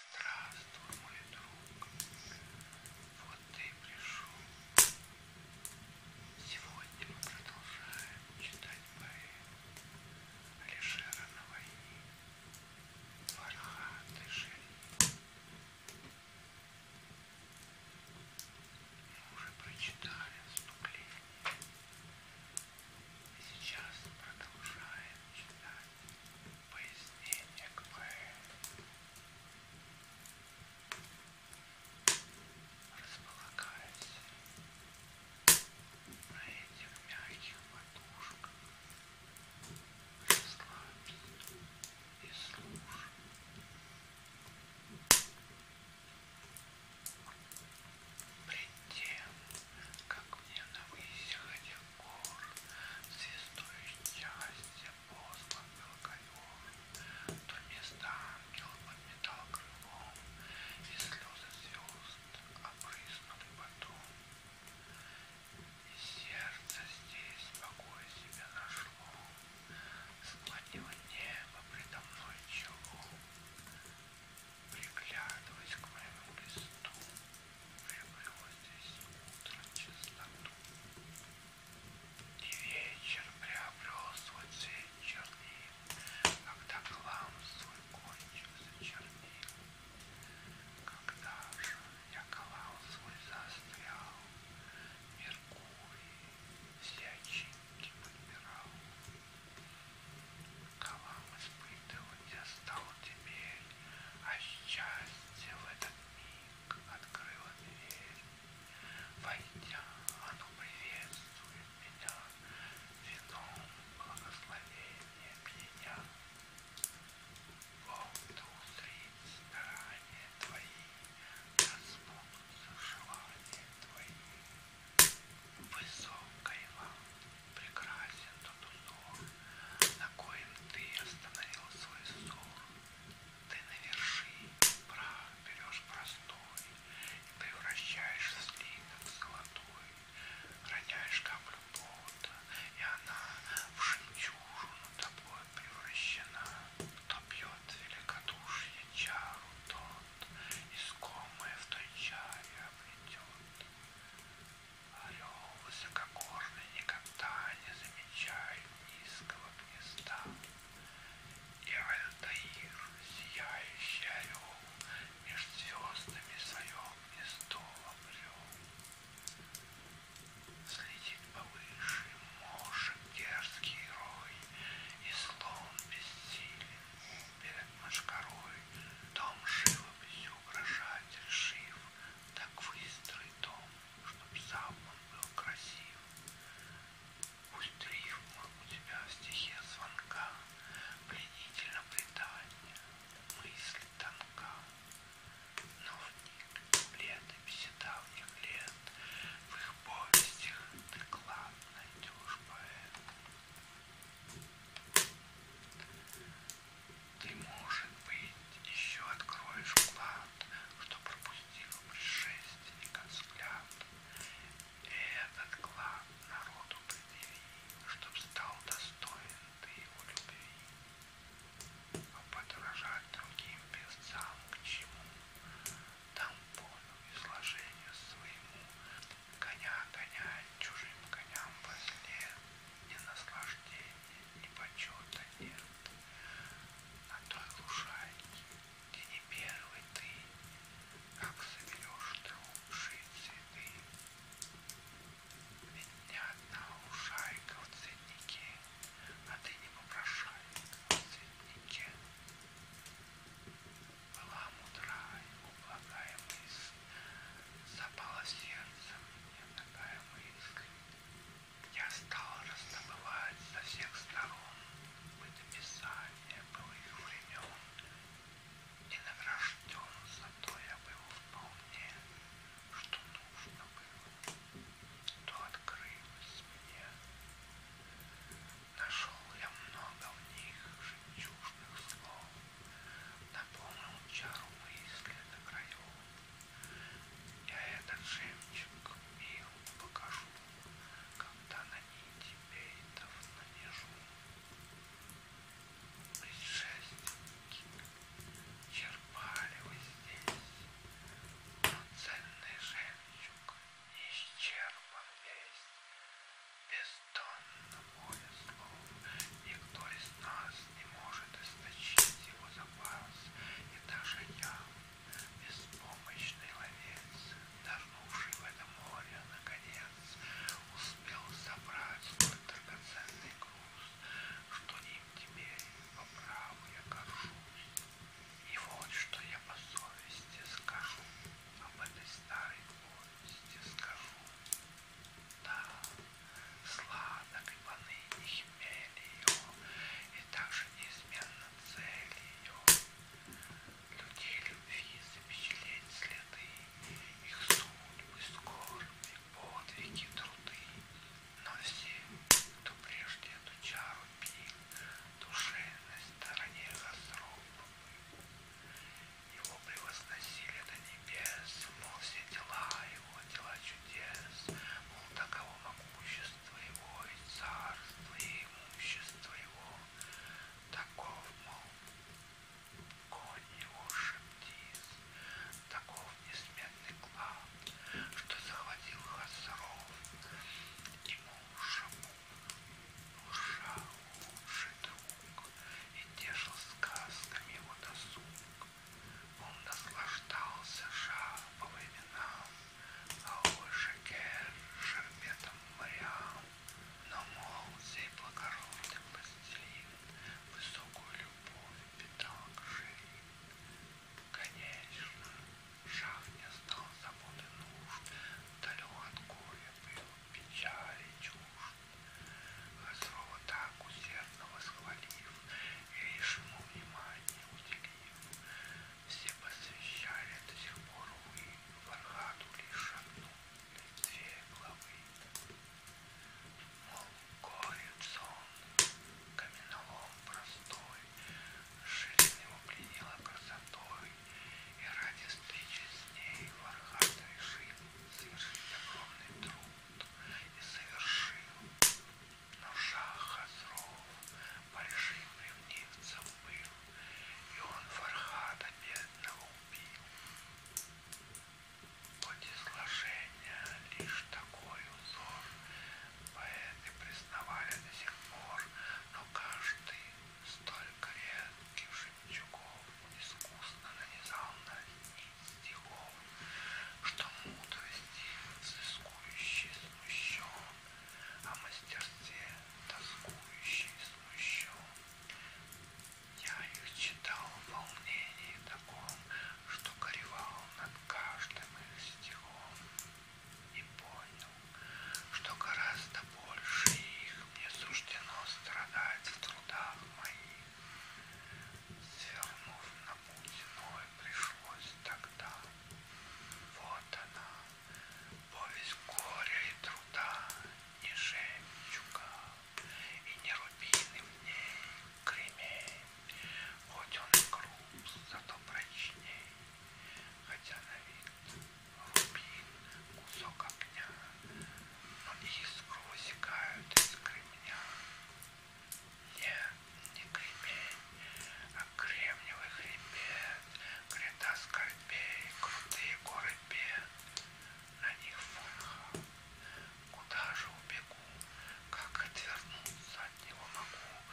Здравствуй, мой друг. Вот ты и пришел. Сегодня мы продолжаем читать поэм Алишера на войне. Фархат и Шерин. Мы уже прочитали вступление. И сейчас продолжаем читать без денег мы располагаясь на этих мягких подушках, расслабься и слушай. Предел как мне на выходе гор, Свистой счастье поздно был ковер, То место ангел подметал крылом, И слезы звезд обрызнули потом. И сердце здесь покоя себя нашло, Склонило небо предо мной чело, приглядываясь к моему листу, люблю здесь утро чистоту. И вечер приобрел свой цвет чернил, когда клам свой кончик зачернил. Когда же я клам свой застрял, Меркурий все очинки подбирал. Калам испытывать я стал теперь, А счастье в этот миг открыло дверь. Войдя, оно приветствует меня Вином благословения меня. Бог, да узрит старания твои, Да сбудутся желания твои. Высокой вам прекрасен тот узор, на коем ты остановил свой ссор. Ты на вершине прав берешь простой и превращаешь в слиток золотой, роняешь каплю пота, и она в жемчужину тобой превращена. Кто пьет великодушье чару, тот искомое в той чаре обретет. Орел высокогорный никогда не замечает низкого гнезда. И Альтаир, сияющий орел, меж звездами свое гнездо обрел. Слетит повыше мошек дерзкий рой, И слон бессилен перед мошкарой, Дом живописью угрожатель жив, так выстрой дом, чтоб сам он был красив. Пусть рифма у тебя в стихе звонка, пленительно предание, мысль тонка. Но в летописи давних лет, в их повестях ты клад найдешь поэт. Ты, может быть, еще откроешь вклад, что пропустил предшественника взгляд. Этот клад народу предъяви, чтоб стал достоин ты его любви. А подражать другим певцам к чему? Там полю изложению своему Коня гоняет чужим коням возле, Ни наслаждения, ни почета нет. На той лужайке, где не первый ты, Как соберешь ты лучшие цветы. Ведь ни одна лужайка в цветнике, А ты не попрошайка в цветнике была мудра и благая мысль, запала сердцем мне такая мысль. Я стал раздобывать со всех сторон бытописание былых времен, и награжден за то я был вполне, что нужно было, то открылось мне. Нашел я много в них жемчужных слов, Наполнил чару мысли до краев. Я этот жемчуг мил покажу, когда на нити бейтов нанижу. Предшественники черпали вы здесь, но ценный жемчуг исчерпан весь бездонно море слов. Никто из нас не может источить его запас, и даже я, беспомощный ловец, нырнувший в это море, наконец, успел собрать свой драгоценный груз, что им теперь по праву я горжусь. И вот что я по совести скажу об этой старой горе тебе скажу. Да, сладок и поныне хмель ее, и также неизменно цель ее. Людей любви запечатлеть следы, их судьбы, скорби, подвиги, труды. Но все, кто прежде эту чару пил, душевной стороне разруб. Его превозносили до небес, мол, все дела его, дела чудес, мол, таково могущество его и царство, и имущество его, таков, мол, конь его шептиз, таков несметный клад, что захватил хасров и муж Уша лучший друг и тешил сказками его досуг. Он наслаждался ша по временам, а Шекер шербетом морям. Но мол, сей благородный властелин высокую любовь питал к шире. Конечно, шах не стал заботы нужд, далек от горя был печали, чушь. Хозрова а так усердно восхвалив и лишему внимания уделив. Все посвящали до сих пор, увы, Фархаду лишь одну, две главы. Мол, горец он, каменолом простой, Жизнь его пленила красотой, и ради встречи с ней Вархат решил совершить огромный труд и совершил. Но шах Хазров большим ревнивцем был, и он Фархада бедного убил. Хоть и сложения лишь такой узор, поэты признавали до сих пор, но каждый Столько редких жемчугов искусно нанизал на нить стихов, Что мудрости взыскующий смущен, О а мастерстве тоскующий смущен. Я их читал в волнении таком, Что горевал над каждым их стихом, И понял, что гораздо больше их мне суждено страдать в трудах моих. Свернув на путь иной, пришлось тогда. Вот она, повесть горя и труда, не жемчуга и не рубины в ней, кремень, хоть он и груб, зато прочней, хотя на вид глубин кусок огня, но искру высекают из кремня. Нет, не кремень, а кремниевый хребет, гряда скорбей, крутые горы бед. На них фонха, куда же убегу, как отвернуться от него могу,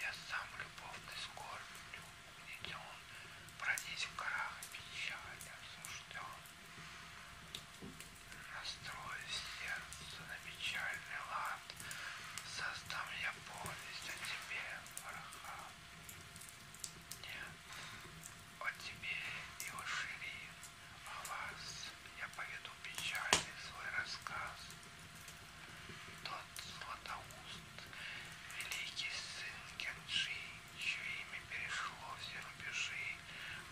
я сам любовный скорбь регион, бродить в горах и печаль обсужден. Настрою сердце на печальный лад, создам я повесть о тебе, вороха. Нет, о тебе и о Ширин, о вас я поведу печальный свой рассказ. Тот златоуст великий сын Кенджи, чье имя перешло все рубежи,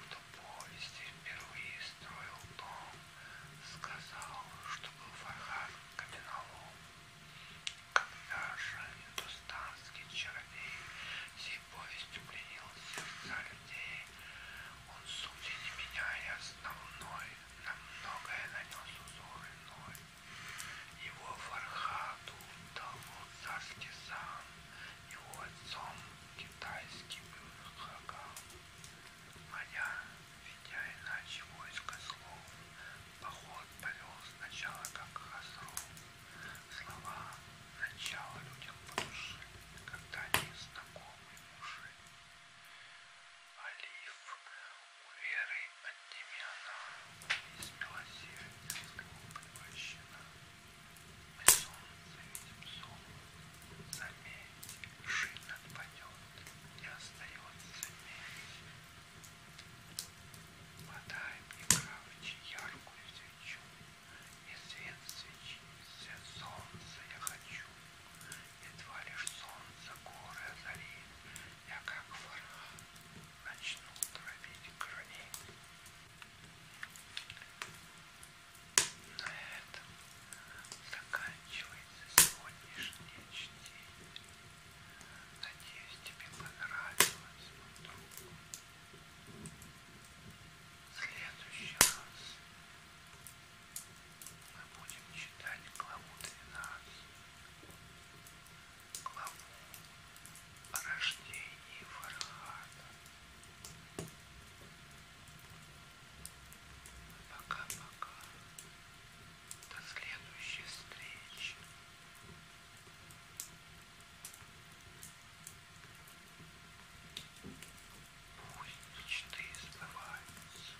кто повести впервые строил дом, сказал, что был враган каменолом. Когда же индустанский чародей сей повестью пленил сердца людей, он, судя не меняя основной, на многое нанес узор иной. Его Фархаду дало царский сан, его отцом китайский был Хаган. Моя, ведя иначе войско слов, поход повел сначала как хазров. Слова начала людям по душе, когда они знакомы уже. Алиф верой отнемена, из милосердия слов превращена. Мы солнце видим сон, заметь, шин отпадет, не остается медь. Подай мне кравчи яркую свечу, и свет свечи, свет солнца я хочу, едва лишь солнце горы озарит я как ворона начну травить крови. На этом заканчивается сегодняшнее чтение. Надеюсь, тебе понравилось, мой друг. В следующий раз мы будем читать главу 12 о рождении Фархата. Пока-пока. До следующей встречи. Пусть мечты сбываются.